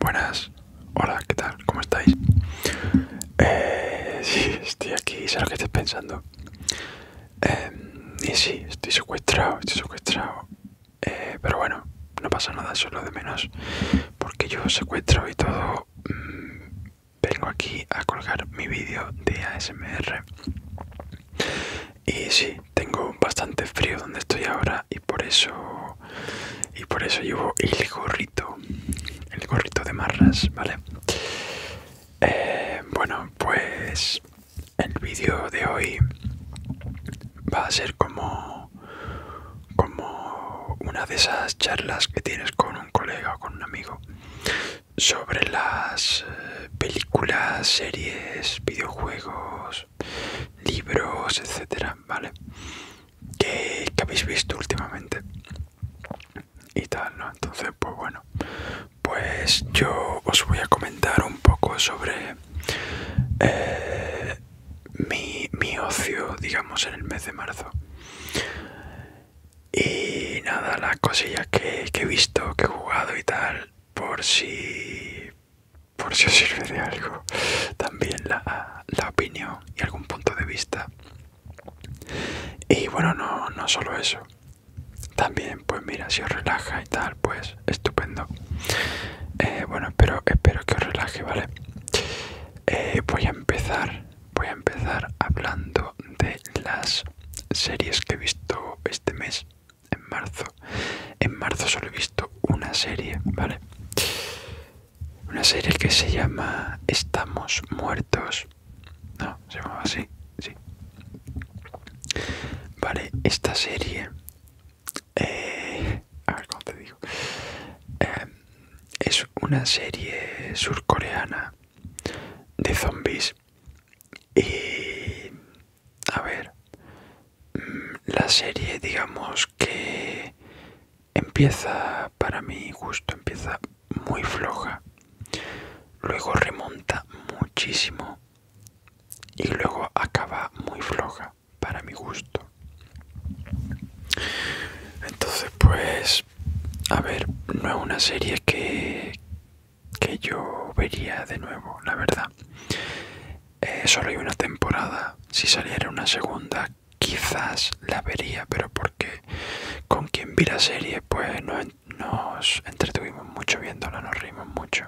Buenas, hola, ¿qué tal? ¿Cómo estáis? Eh, sí, estoy aquí, sé lo que estés pensando. Em, y sí, estoy secuestrado, estoy secuestrado. Eh, pero bueno, no pasa nada, Solo es lo de menos. Porque yo secuestro y todo. Mm, vengo aquí a colgar mi vídeo de ASMR y sí tengo bastante frío donde estoy ahora y por eso y por eso llevo el gorrito el gorrito de marras vale eh, bueno pues el vídeo de hoy va a ser como como una de esas charlas que tienes con un colega o con un amigo sobre las eh, películas, series, videojuegos libros, etcétera, ¿vale? Que, habéis visto últimamente y tal, ¿no? Entonces, pues bueno, pues yo os voy a comentar un poco sobre eh, mi, ocio, digamos, en el mes de marzo. Y nada, las cosillas que, que he visto, que he jugado y tal, por si por si os sirve de algo también la, opinión y algún punto de vista y bueno no, solo eso también pues mira si os relaja y tal pues estupendo eh, bueno espero espero que os relaje vale eh, voy a empezar voy a empezar hablando de las series que he visto este mes en marzo. En marzo solo he visto una serie, ¿vale? Una serie que se llama Estamos Muertos. No, se llamaba así, sí. Vale, esta serie... Eh, a ver te digo. Eh, es una serie surcoreana de zombies. Y a ver, mm, la serie digamos que empieza, para mi gusto, empieza muy floja, luego remonta muchísimo y luego acaba muy floja, para mi gusto. Entonces, pues, a ver, no es una serie que, que yo vería de nuevo, la verdad. Eh, solo hay una temporada. Si saliera una segunda, quizás la vería, pero porque con quien vi la serie, pues nos, entretuvimos mucho viéndola, nos reímos mucho.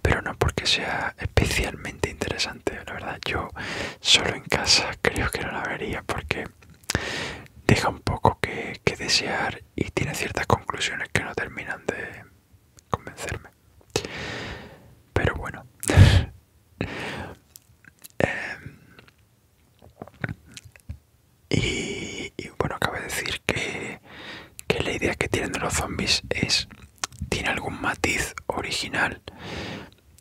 Pero no porque sea especialmente interesante, la verdad. Yo solo en casa creo que no la vería porque deja un poco que desear y tiene ciertas conclusiones que no terminan de convencerme. Pero bueno. Em, y, bueno, bueno, de decir que la idea que tienen de los zombies es... Tiene algún matiz original.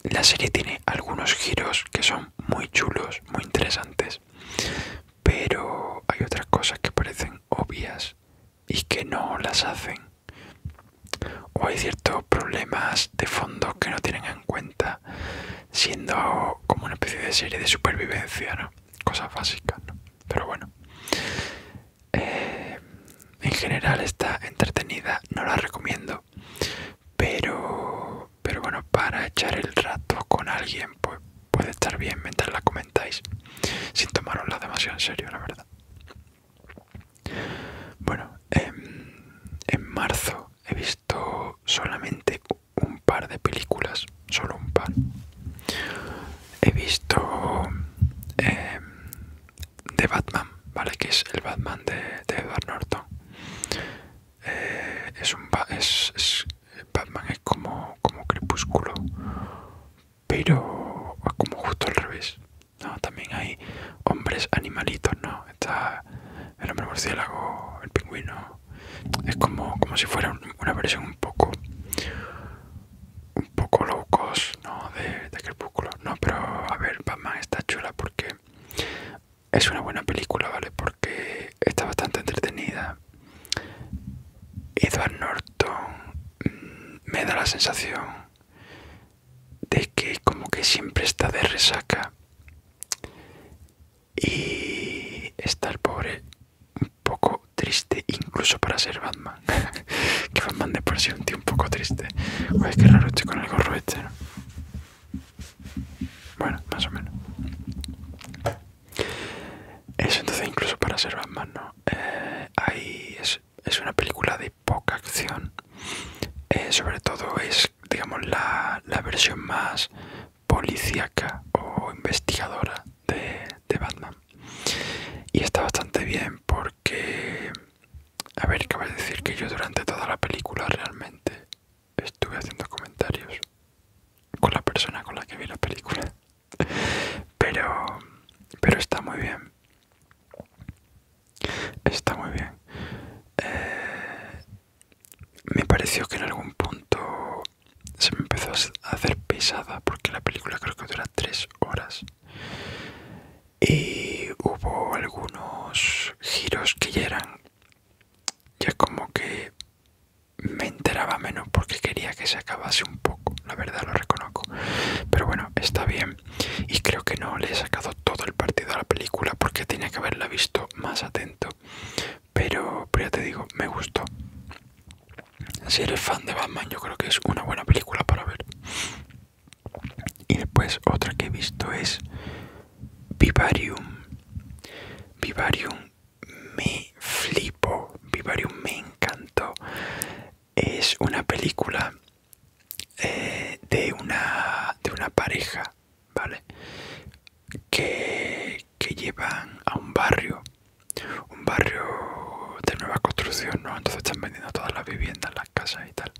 La serie tiene algunos giros que son muy chulos, muy interesantes. Pero hay otras cosas que parecen obvias y que no las hacen. O hay ciertos problemas de fondo que no tienen en cuenta, siendo como una especie de serie de supervivencia, Cosas básicas, Pero bueno. Eh, en general está entretenida, no la recomiendo. Pero, pero bueno, para echar el rato con alguien, pues puede estar bien mientras la comentáis sin tomarosla demasiado en serio la verdad bueno em, en, marzo he visto solamente un par de películas solo un par he visto em, de The Batman vale que es el Batman de, Edward Norton eh, es un es, Batman es como, como crepúsculo pero como justo al revés. también hay hombres animalitos, ¿no? Está el hombre murciélago, el pingüino. Es como, como si fuera una versión un poco un poco low ¿no? De, de Crepúsculo. No, pero a ver, Batman está chula porque es una buena película, ¿vale? Porque está bastante entretenida, Edward Norton mm, me da la sensación de que como que siempre está de resaca y está el pobre un poco triste incluso para ser Batman que Batman de por sí un tío un poco triste Uy, qué raro estoy con el gorro este bueno, más o menos eso entonces incluso para ser Batman, ¿no? Eh, ahí es, una película de poca acción. Eh, sobre todo es, digamos, la, versión más policíaca o investigadora de, Batman. Y está bastante bien porque... A ver, a decir que yo durante toda la película realmente estuve haciendo comentarios con la persona con la que vi la película pero pero está muy bien está muy bien eh, me pareció que en algún punto se me empezó a hacer pesada porque la película creo que dura tres horas y hubo algunos giros que ya eran ya como que me enteraba menos porque quería que se acabase un poco, la verdad lo reconozco. Pero bueno, está bien. Y creo que no le he sacado todo el partido a la película porque tenía que haberla visto más atento. Pero, ya te digo, me gustó. Si eres fan de Batman, yo creo que es una buena película para ver. Y después otra que he visto es Vivarium. Vivarium me flipó. Vivarium me encantó. Es una película eh, de, una, de una pareja, ¿vale? Que, que llevan a un barrio, un barrio de nueva construcción, ¿no? Entonces están vendiendo todas las viviendas, las casas y tal.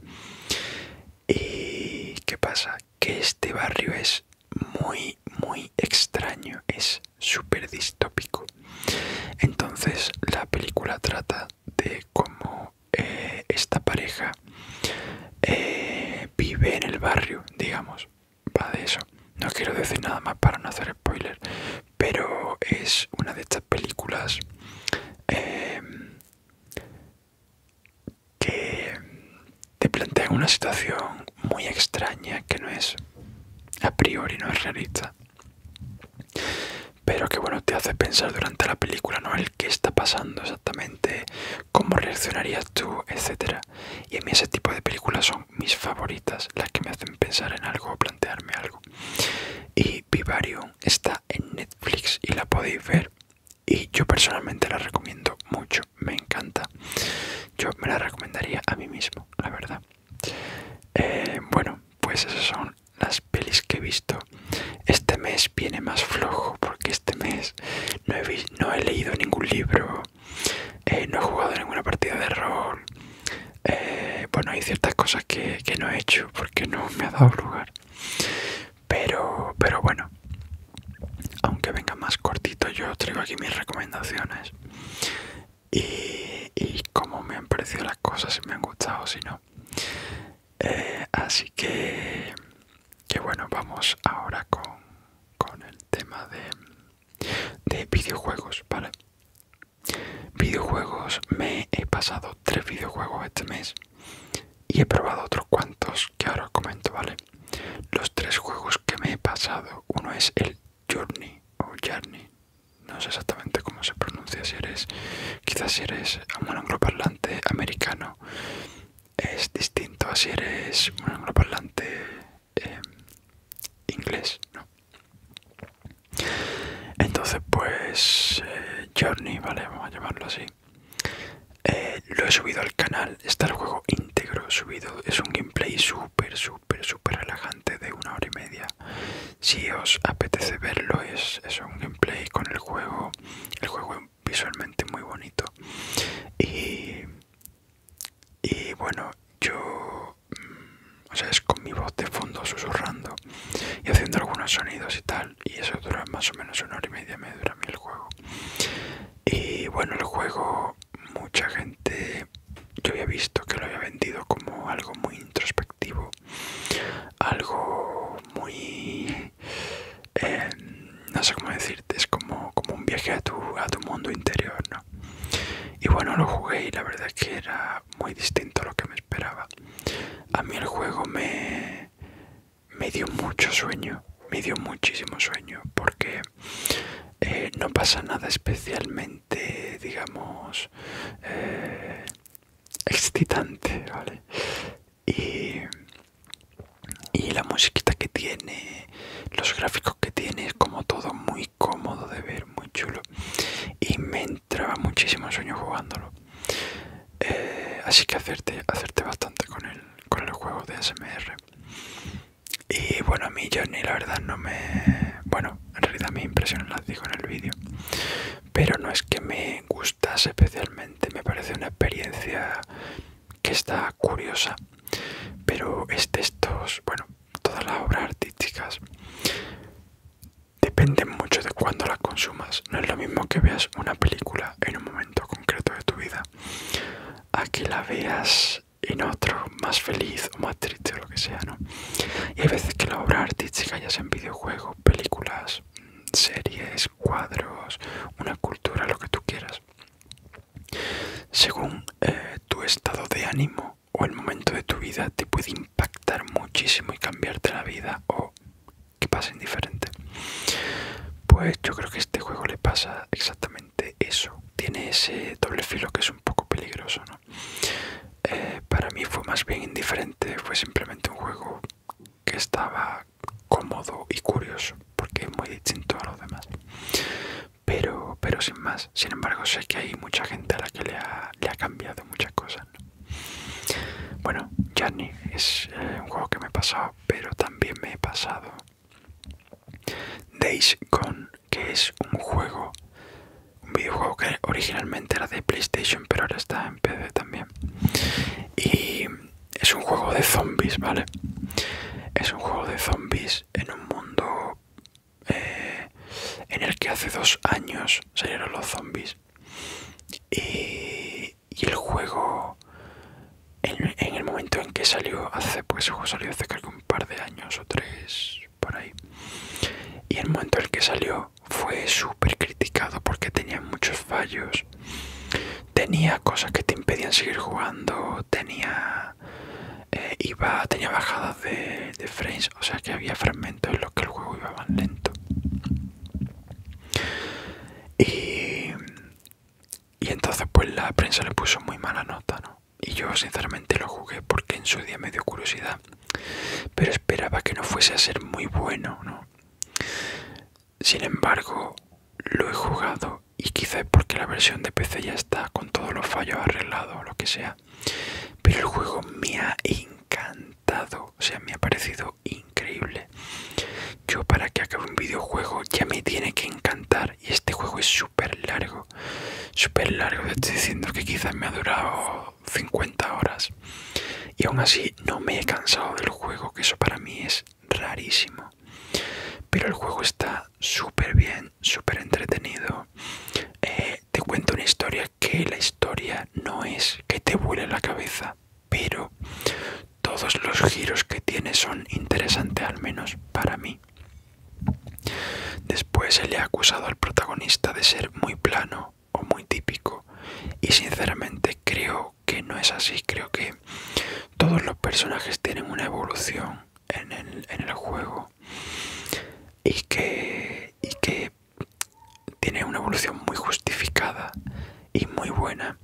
¿Y qué pasa? Que este barrio es muy muy, extraño, es súper distópico. Entonces la película trata de cómo eh, esta pareja eh, vive en el barrio, digamos. Va de eso. No quiero decir nada más para no hacer spoiler, pero es una de estas películas em, que te plantean una situación muy extraña que no es a priori no es realista pero que bueno te hace pensar durante la película no el qué está pasando exactamente cómo reaccionarías tú etcétera y a mí ese tipo de películas son mis favoritas las que me hacen pensar en algo o plantearme algo y Vivarium está en Netflix y la podéis ver y yo personalmente la recomiendo mucho me encanta yo me la recomendaría a mí mismo la verdad eh, bueno, pues esas son las pelis que he visto. Este mes viene más flojo porque este mes no he, leído ningún libro, eh, no he jugado ninguna partida de rol. Eh, bueno, hay ciertas cosas que, no he hecho porque no me ha dado lugar. Pero, pero bueno, aunque venga más cortito, yo traigo aquí mis recomendaciones y, y cómo me han parecido las cosas, si me han gustado o si no. Eh, así que, que bueno, vamos ahora con, con el tema de, de videojuegos, ¿vale? Videojuegos, me he pasado tres videojuegos este mes y he probado otros cuantos que ahora os comento, ¿vale? Los tres juegos que me he pasado, uno es el Journey o Journey, no sé exactamente cómo se pronuncia si eres, quizás si eres un angloparlante americano es distinto a si eres un angloparlante eh, inglés, Entonces pues eh, Journey, vale, vamos a llamarlo así. Eh, lo he subido al canal, está el juego íntegro subido, es un gameplay súper, súper súper relajante de una hora y media si os apetece verlo es, un gameplay con el juego el juego visualmente muy bonito y, y bueno yo mm, o sea es con mi voz de fondo susurrando y haciendo algunos sonidos y tal y eso dura más o menos una hora y media me dura a mí el juego y bueno el juego mucha gente yo había visto que lo había vendido como algo muy introspectivo algo muy em, no sé cómo decirte es como, como un viaje a tu, a tu mundo interior y bueno lo jugué y la verdad es que era muy distinto a lo que me esperaba a mí el juego me me dio mucho sueño me dio muchísimo sueño porque eh, no pasa nada especialmente, digamos, eh, excitante, Y, la musiquita que tiene, los gráficos que tiene, es como todo muy cómodo de ver, muy chulo. Y me entraba muchísimo sueño jugándolo. Eh, así que hacerte, hacerte bastante con el, con el juego de SMR. Y bueno, a mí Johnny la verdad no me... Bueno, en realidad mis impresiones las digo en el vídeo. Pero no es que me gustase especialmente, me parece una experiencia que está curiosa. Pero este estos, bueno, todas las obras artísticas dependen mucho de cuándo las consumas. No es lo mismo que veas una película en un momento concreto de tu vida. A que la veas y otro más feliz o más triste o lo que sea, ¿no? Y hay veces que la obra artística, ya sea en videojuegos, películas, series, cuadros, una cultura, lo que tú quieras, según eh, tu estado de ánimo o el momento de tu vida, te puede impactar muchísimo y cambiarte la vida o que pase indiferente. Pues yo creo que a este juego le pasa exactamente eso, tiene ese doble filo que es un poco peligroso, eh, para mí fue más bien indiferente, fue simplemente un juego que estaba cómodo y curioso, porque es muy distinto a los demás. Pero, sin más, sin embargo sé que hay mucha gente a la que le ha, cambiado muchas cosas. Bueno, Journey es eh, un juego que me he pasado, pero también me he pasado Days Gone, que es un juego, un videojuego que originalmente era de PlayStation, pero ahora está en PC también. Y es un juego de zombies, ¿vale? Es un juego de zombies en un mundo eh, en el que hace dos años salieron los zombies. y el juego en, el momento en que salió hace pues juego salió hace un par de años o tres por ahí y el momento en que salió fue súper criticado porque tenía muchos fallos tenía cosas que te impedían seguir jugando tenía eh, iba tenía bajadas de, de frames o sea que había fragmentos en los que el juego iba más lento y entonces pues la prensa le puso muy mala nota, ¿no? y yo sinceramente lo jugué porque en su día me dio curiosidad, pero esperaba que no fuese a ser muy bueno, ¿no? Sin embargo, lo he jugado y quizá porque la versión de PC ya está con todos los fallos arreglados o lo que sea, pero el juego me ha encantado, o sea, me ha parecido increíble. Yo para que acabe un videojuego ya me tiene que encantar y este juego es súper largo, súper largo. Estoy diciendo que quizás me ha durado 50 horas. Y aún así no me he cansado del juego, que eso para mí es rarísimo. Pero el juego está súper bien, súper entretenido. Eh, te cuento una historia que la historia no es que te vuele la cabeza, pero todos los giros que tiene son interesantes al menos para mí. Después se le ha acusado al protagonista de ser muy plano o muy típico y sinceramente creo que no es así, creo que todos los personajes tienen una evolución en el, juego y que tiene una evolución muy justificada y muy buena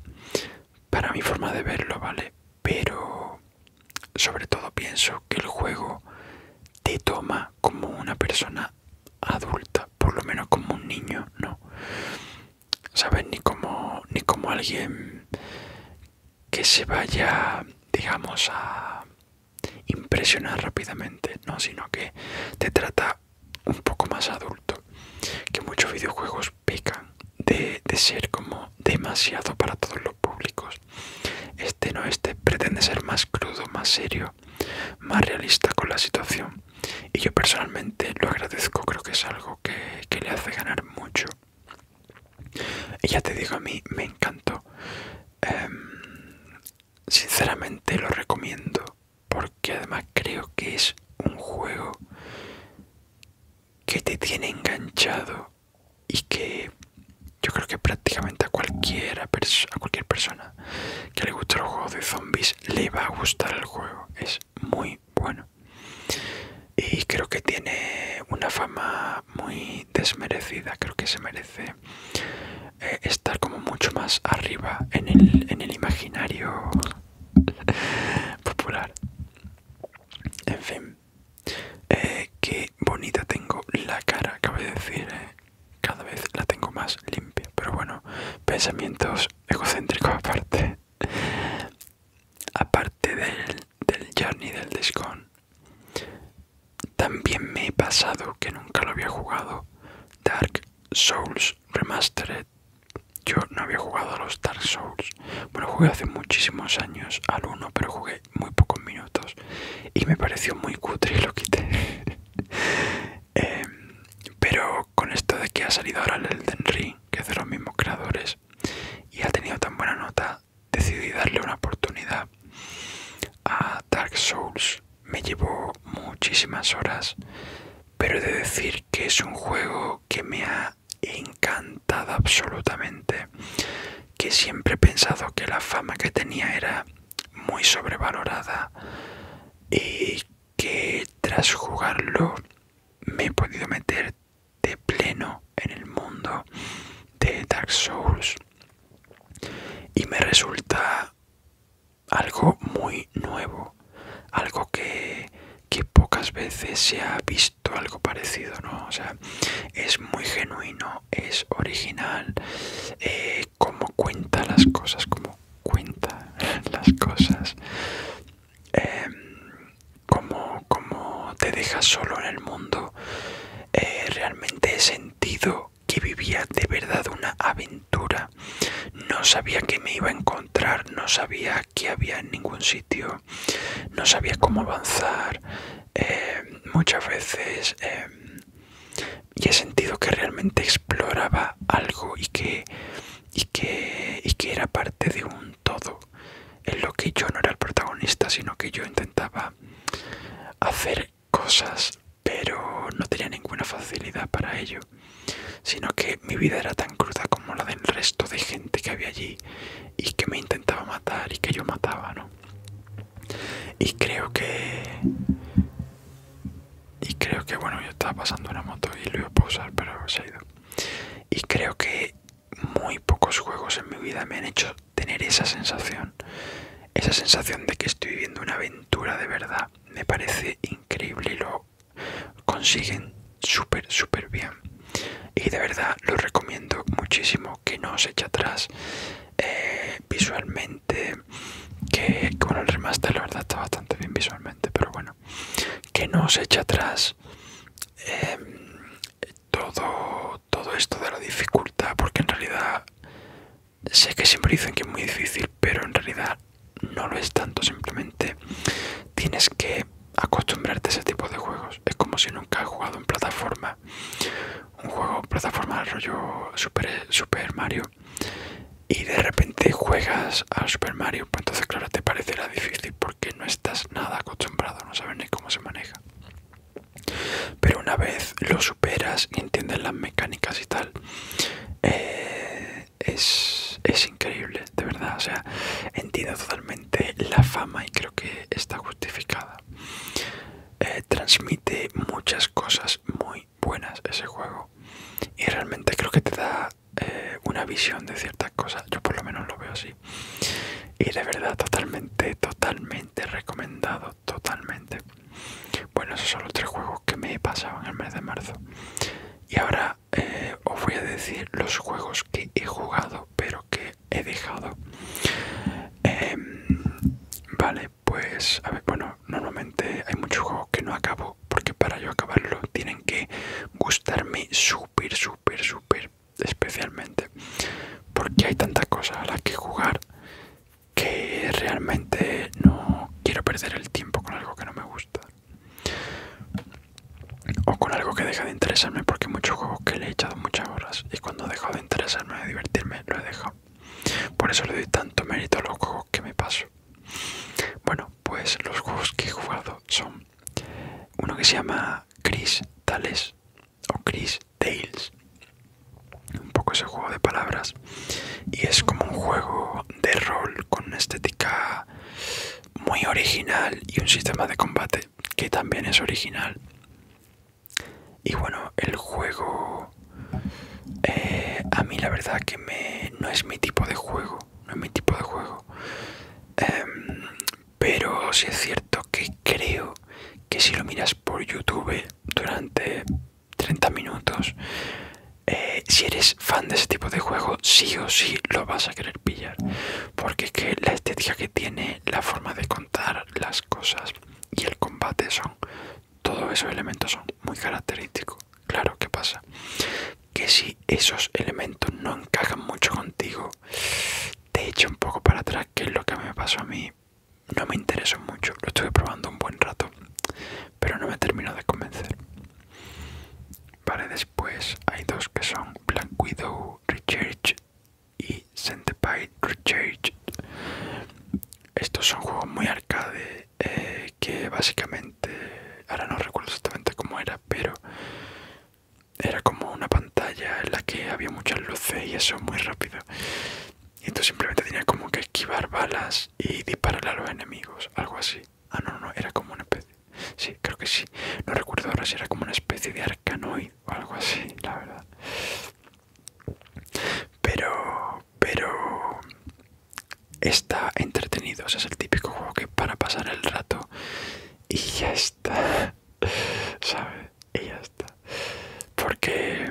para mi forma de verlo, ¿vale? pero sobre todo pienso que el juego te toma como una persona adulta, por lo menos como un niño, no. ¿Sabes? Ni como, ni como alguien que se vaya, digamos, a impresionar rápidamente, no, sino que te trata un poco más adulto que muchos videojuegos pecan de, ser como demasiado para todos los públicos. Este no, este pretende ser más crudo, más serio, más realista con la situación. Y yo personalmente lo agradezco, creo que es algo que, le hace ganar mucho. Y ya te digo, a mí me encantó. Em, sinceramente lo recomiendo porque además creo que es un juego que te tiene enganchado y que yo creo que prácticamente a, cualquiera cualquier persona que le guste el juego de zombies le va a gustar el juego. Es muy bueno. Y creo que tiene una fama muy desmerecida. Creo que se merece eh, estar como mucho más arriba en el, en el imaginario popular. En fin, eh, qué bonita tengo la cara, cabe decir, eh. cada vez la tengo más limpia. Pero bueno, pensamientos egocéntricos aparte. Aparte del, Journey del Discon, también me he pasado, que nunca lo había jugado, Dark Souls Remastered. Yo no había jugado a los Dark Souls bueno, jugué hace muchísimos años al uno, pero jugué muy pocos minutos y me pareció muy cutre y lo quité. Em, pero con esto de que ha salido ahora el Elden Ring, que es de los mismos creadores, y ha tenido tan buena nota, decidí darle una oportunidad a Dark Souls. Me llevó muchísimas horas, pero he de decir que es un juego que me ha encantada absolutamente, que siempre he pensado que la fama que tenía era muy sobrevalorada y que tras jugarlo me he podido meter de pleno en el mundo de Dark Souls y me resulta algo muy nuevo, algo que pocas veces se ha visto algo parecido, ¿no? O sea, es muy genuino, es original, eh, como cuenta las cosas, como cuenta las cosas, em, como te deja solo en el mundo. Eh, realmente he sentido que vivía de verdad una aventura. No sabía que me iba a encontrar, no sabía que había en ningún sitio, no sabía cómo avanzar, eh, muchas veces em, y he sentido que realmente exploraba algo y que, que, y que era parte de un todo, en lo que yo no era el protagonista, sino que yo intentaba hacer cosas, pero no tenía ninguna facilidad para ello sino que mi vida era tan cruda como la del resto de gente que había allí y que me intentaba matar y que yo mataba, ¿no? Y creo que... Y creo que, bueno, yo estaba pasando una moto y lo iba a pausar, pero se ha ido. Y creo que muy pocos juegos en mi vida me han hecho tener esa sensación. Esa sensación de que estoy viviendo una aventura de verdad. Me parece increíble lo consiguen súper súper bien y de verdad lo recomiendo muchísimo que no os eche atrás eh, visualmente que bueno el remaster la verdad está bastante bien visualmente pero bueno que no os eche atrás em, todo todo esto de la dificultad porque en realidad sé que siempre dicen que es muy difícil pero en realidad no lo es tanto simplemente tienes que acostumbrarte a ese tipo de juegos. Es como si nunca has jugado en plataforma. Un juego plataforma rollo Super, Super Mario. Y de repente juegas a Super Mario. Pues entonces, claro, te parecerá difícil porque no estás nada acostumbrado. No sabes ni cómo se maneja. Pero una vez lo superas y entiendes las mecánicas y tal, eh, es, es increíble, de verdad. O sea, entiendo totalmente la fama y creo que está justificada. Eh, transmite muchas cosas muy buenas ese juego y realmente creo que te da eh, una visión de ciertas cosas, yo por lo menos lo veo así. Y de verdad totalmente, totalmente recomendado, totalmente. Bueno, esos son los tres juegos que me he pasado en el mes de marzo. Y ahora eh, os voy a decir los juegos que he jugado pero que he dejado em, vale pues a ver bueno normalmente hay muchos juegos que no acabo porque para yo acabarlo tienen que gustarme súper súper súper especialmente porque hay tantas cosas a las que jugar que realmente no quiero perder el tiempo con algo que no me gusta o con algo que deja de interesarme porque hay muchos juegos que le he echado muchas horas y cuando he dejado de interesarme de divertirme lo he dejado por eso le doy tanto mérito a los juegos que me paso bueno pues los juegos que he jugado son uno que se llama Chris Tales o Chris Tales un poco ese juego de palabras y es como un juego de rol con una estética muy original y un sistema de combate que también es original. Y bueno, el juego eh, a mí la verdad que no es mi tipo de juego, no es mi tipo de juego. Em, pero si es cierto que creo que si lo miras por YouTube durante 30 minutos, eh, si eres fan de ese tipo de juego, sí o sí lo vas a querer pillar porque es que la estética que tiene la forma de contar las cosas y el combate son todos esos elementos son muy característicos claro que pasa que si esos elementos no encajan mucho contigo te echo un poco para atrás que es lo que me pasó a mí no me interesó mucho lo estoy probando un buen rato pero no me termino de convencer Vale, después hay dos que son Black Widow Recharge y Centipede Recharge. Estos son juegos muy arcade eh, que básicamente, ahora no recuerdo exactamente cómo era, pero era como una pantalla en la que había muchas luces y eso muy rápido. Y tú simplemente tenías como que esquivar balas y dispararle a los enemigos, algo así. Ah, no, no, era como una especie. Sí, creo que sí. No recuerdo ahora si era como una especie de arcanoid o algo así, la verdad. Pero, pero está entretenido. O es el típico juego que para pasar el rato y ya está, ¿sabes? Y ya está. Porque,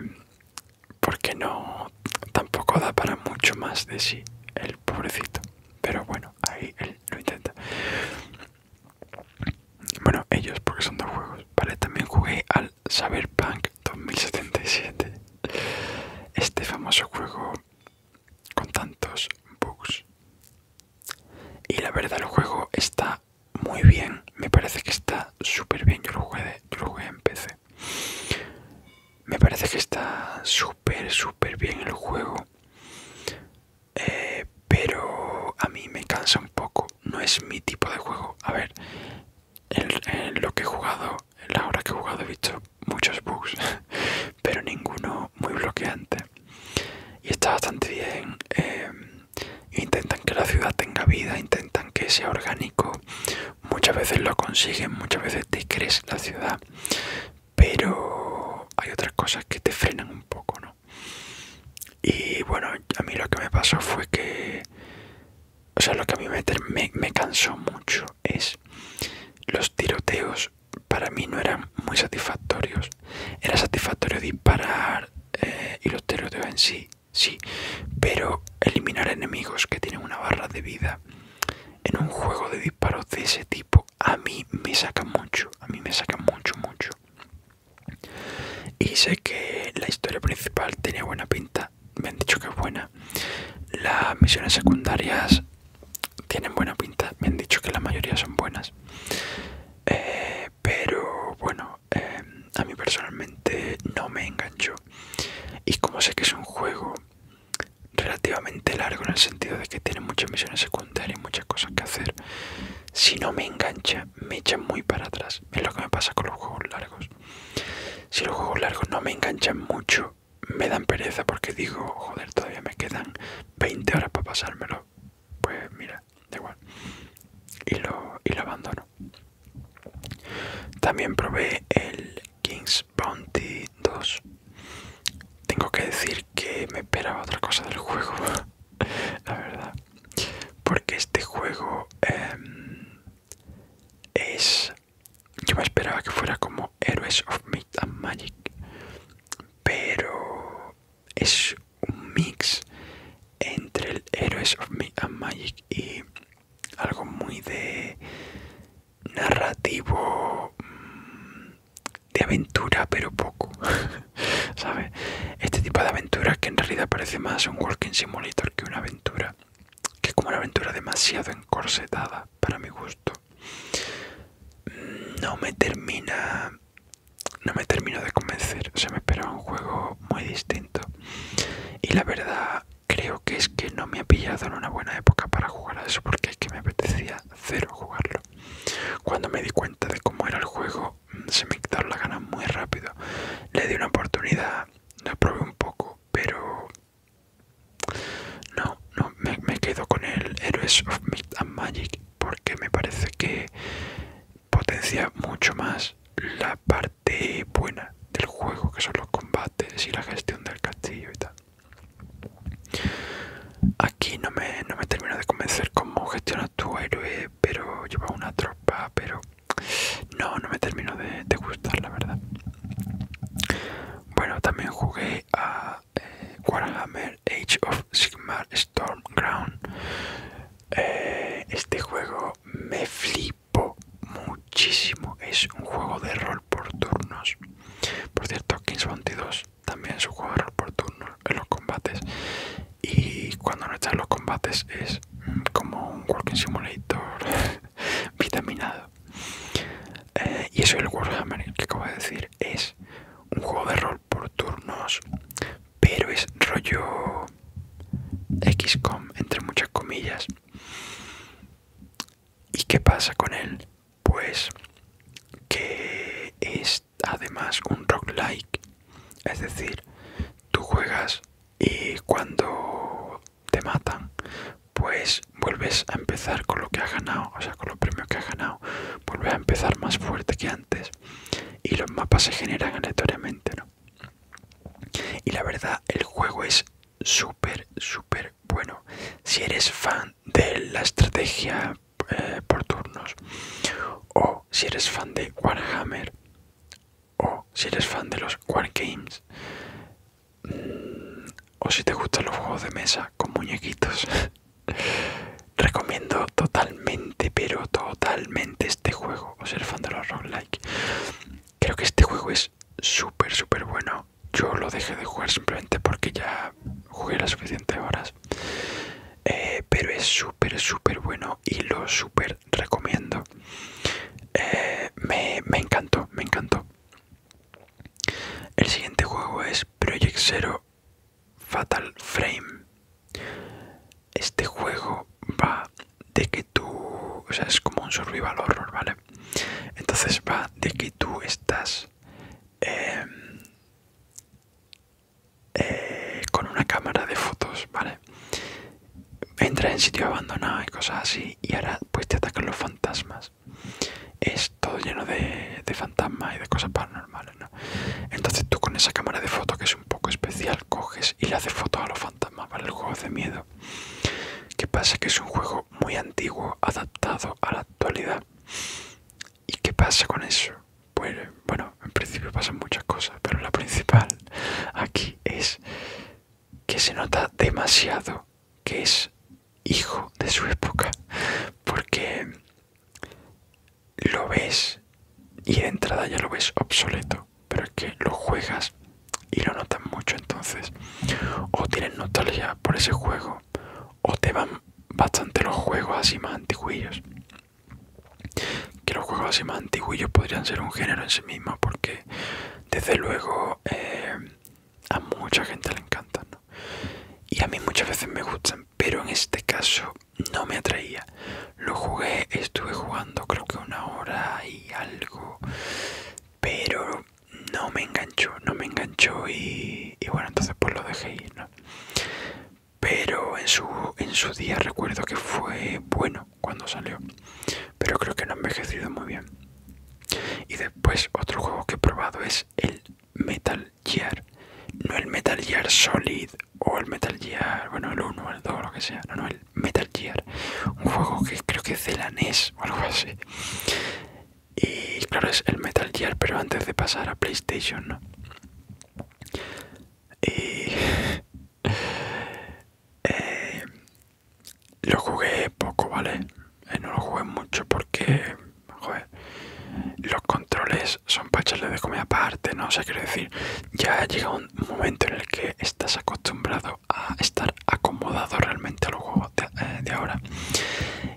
porque no, tampoco da para mucho más de sí el pobrecito. Pero bueno, ahí él lo intenta. Bueno, ellos porque son dos juegos. Vale, también jugué al Cyberpunk 2077. Este famoso juego con tantos bugs. Y la verdad el juego está muy bien. Me parece que está súper bien. Yo lo, jugué yo lo jugué en PC. Me parece que está súper, súper bien el juego. Eh, pero a mí me cansa un poco, no es mi tipo de juego. A ver, en, lo que he jugado, en la hora que he jugado he visto muchos bugs, pero ninguno muy bloqueante. Y está bastante bien. Em, intentan que la ciudad tenga vida, intentan que sea orgánico. Muchas veces lo consiguen, muchas veces te crees la ciudad pero hay otras cosas que te frenan un poco, ¿no? Y bueno, a mí lo que me pasó fue que, o sea, lo que a mí me, me, cansó mucho es los tiroteos para mí no eran muy satisfactorios. Era satisfactorio disparar eh, y los tiroteos en sí, sí, pero eliminar enemigos que tienen una barra de vida en un juego de disparos de ese tipo a mí me saca mucho, a mí me saca mucho, mucho. Y sé que la historia principal tiene buena pinta, me han dicho que es buena. Las misiones secundarias tienen buena pinta, me han dicho que la mayoría son buenas. Eh, pero bueno, eh, a mí personalmente no me engancho Y como sé que es un juego relativamente largo en el sentido de que tiene muchas misiones secundarias y muchas cosas que hacer. Si no me engancha, me echa muy para atrás. Es lo que me pasa con los juegos largos. Si los juegos largos no me enganchan mucho, me dan pereza porque digo, joder, todavía me quedan 20 horas para pasármelo. Pues mira, da igual. Y lo, y lo abandono. También probé el King's Bounty 2 tengo que decir que me esperaba otra cosa del juego, la verdad. Porque este juego em, es... Yo me esperaba que fuera como Heroes of Myth and Magic. Pero es un mix entre el Heroes of Myth and Magic y algo muy de narrativo mm, de aventura, pero poco, ¿sabes? Este tipo de aventura que en realidad parece más un walking simulator que una aventura, que es como una aventura demasiado encorsetada para mi gusto. Mm, no me termina, no me termino de convencer. Se me esperaba un juego muy distinto y la verdad creo que es que no me ha pillado en una buena época para jugar a eso porque es que me apetecía cero jugarlo. Cuando me di cuenta de cómo era el juego, mm, se me quitaron las ganas muy rápido. Le di una oportunidad, Lo probé un poco, pero no, no, me, quedo con el Heroes of Myth and Magic porque me parece que potencia mucho más la parte buena del juego, que son los combates y la gestión del castillo y tal. Aquí no me, termino de convencer cómo gestiona tu héroe, pero lleva una tropa, pero no, no me termino de, gustar, la verdad. Bueno, también jugué a eh, Warhammer Age of Sigmar Stormground. Eh, este juego me flipo muchísimo. Es un juego de rol por turnos. Por cierto, Kings 22 también su rol por turno en los combates y cuando no está en los combates es como un Walking Simulator vitaminado eh, y eso el Warhammer que acabo de decir es un juego de rol por turnos pero es rollo XCOM entre muchas comillas ¿Y qué pasa con él? pues que es además un rock like es decir tú juegas y cuando te matan pues vuelves a empezar con lo que has ganado o sea con los premios que has ganado vuelves a empezar más fuerte que antes y los mapas se generan aleatoriamente y la verdad el juego es súper súper bueno si eres fan de la estrategia eh, por turnos o si eres fan de Warhammer o si eres fan de los War Games, mm, o si te gustan los juegos de mesa con muñequitos recomiendo totalmente pero totalmente este juego o ser fan de los roguelike creo que este juego es súper súper bueno yo lo dejé de jugar simplemente porque ya jugué las suficientes horas. Eh, pero es súper, súper bueno y lo súper recomiendo. Eh, me, me encantó, me encantó. El siguiente juego es Project Zero Fatal Frame. Este juego va de que tú, o sea, es como un survival horror, ¿vale? Entonces va de que tú estás Em, eh, con una cámara de fotos, ¿vale? Entras en sitio abandonado y cosas así y ahora pues te atacan los fantasmas. Es todo lleno de, de fantasmas y de cosas paranormales, ¿no? Entonces tú con esa cámara de fotos que es un poco especial coges y le haces fotos a los fantasmas, ¿vale? El juego de miedo. Que pasa? Que es un juego muy antiguo, adaptado a la actualidad ¿Y qué pasa con eso? Pues bueno, en principio pasan muchas cosas, pero la principal aquí es que se nota demasiado que es hijo de su época, porque lo ves y de entrada ya lo ves obsoleto, pero es que lo juegas y lo notas mucho entonces, o tienen nostalgia por ese juego o te van bastante los juegos así más antiguillos que los juegos así más antiguillos podrían ser un género en sí mismo porque desde luego eh, a mucha gente le encantan y a mí muchas veces me gustan pero en este caso no me atraía lo jugué estuve jugando creo que una hora y algo pero no me enganchó, no me enganchó y, bueno, entonces pues lo dejé ir, Pero en su, en su día recuerdo que fue bueno cuando salió, pero creo que no ha envejecido muy bien. Y después otro juego que he probado es el Metal Gear, no el Metal Gear Solid o el Metal Gear, bueno, el 1 el 2, lo que sea, no, no, el Metal Gear, un juego que creo que es de la NES o algo así. Y claro, es el Metal Gear, pero antes de pasar a PlayStation, Y eh, lo jugué poco, ¿vale? Eh, no lo jugué mucho porque, joder, los controles son para echarle de comida aparte, ¿no? sé sea, decir, ya llega un momento en el que estás acostumbrado a estar acomodado realmente los juego eh, de, ahora.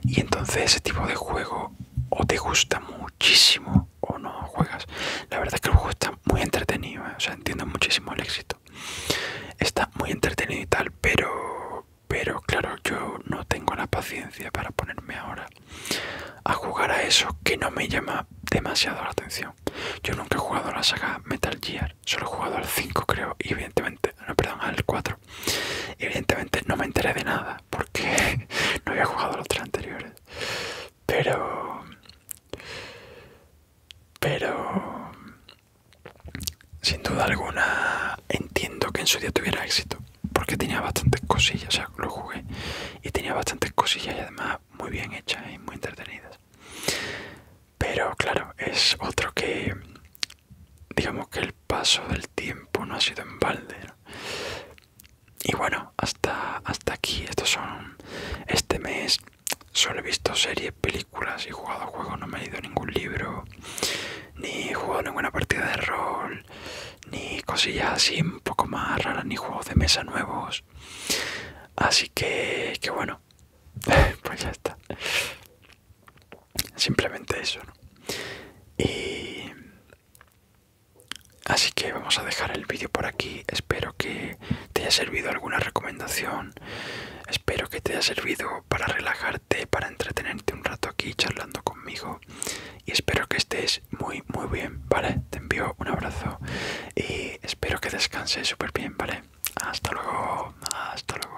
Y entonces ese tipo de juego o te gusta muchísimo o no juegas. La verdad es que el juego está muy entretenido, eh, o sea, entiendo muchísimo el éxito. Está muy entretenido y tal, pero, pero claro, yo no tengo la paciencia para ponerme ahora a jugar a eso que no me llama demasiado la atención. Yo nunca he jugado a la saga Metal Gear, solo he jugado al 5 creo, y evidentemente perdón, al 4. Evidentemente no me enteré de nada porque no había jugado los tres anteriores. Pero. Pero. Sin duda alguna entiendo que en su día tuviera éxito. Porque tenía bastantes cosillas, o sea, lo jugué. Y tenía bastantes cosillas y además muy bien hechas y muy entretenidas. Pero claro, es otro que digamos que el paso del tiempo no ha sido en balde. Y bueno, hasta, hasta aquí, estos son este mes. Solo he visto series, películas y jugado a juegos, no me he leído ningún libro, ni jugado ninguna partida de rol, ni cosillas así un poco más raras, ni juegos de mesa nuevos. Así que, que bueno, pues ya está. Simplemente eso, Y... Así que vamos a dejar el vídeo por aquí. Espero que te haya servido alguna recomendación. Espero que te haya servido para relajarte, para entretenerte un rato aquí charlando conmigo. Y espero que estés muy, muy bien, ¿vale? Te envío un abrazo y espero que descanses súper bien, ¿vale? Hasta luego, hasta luego.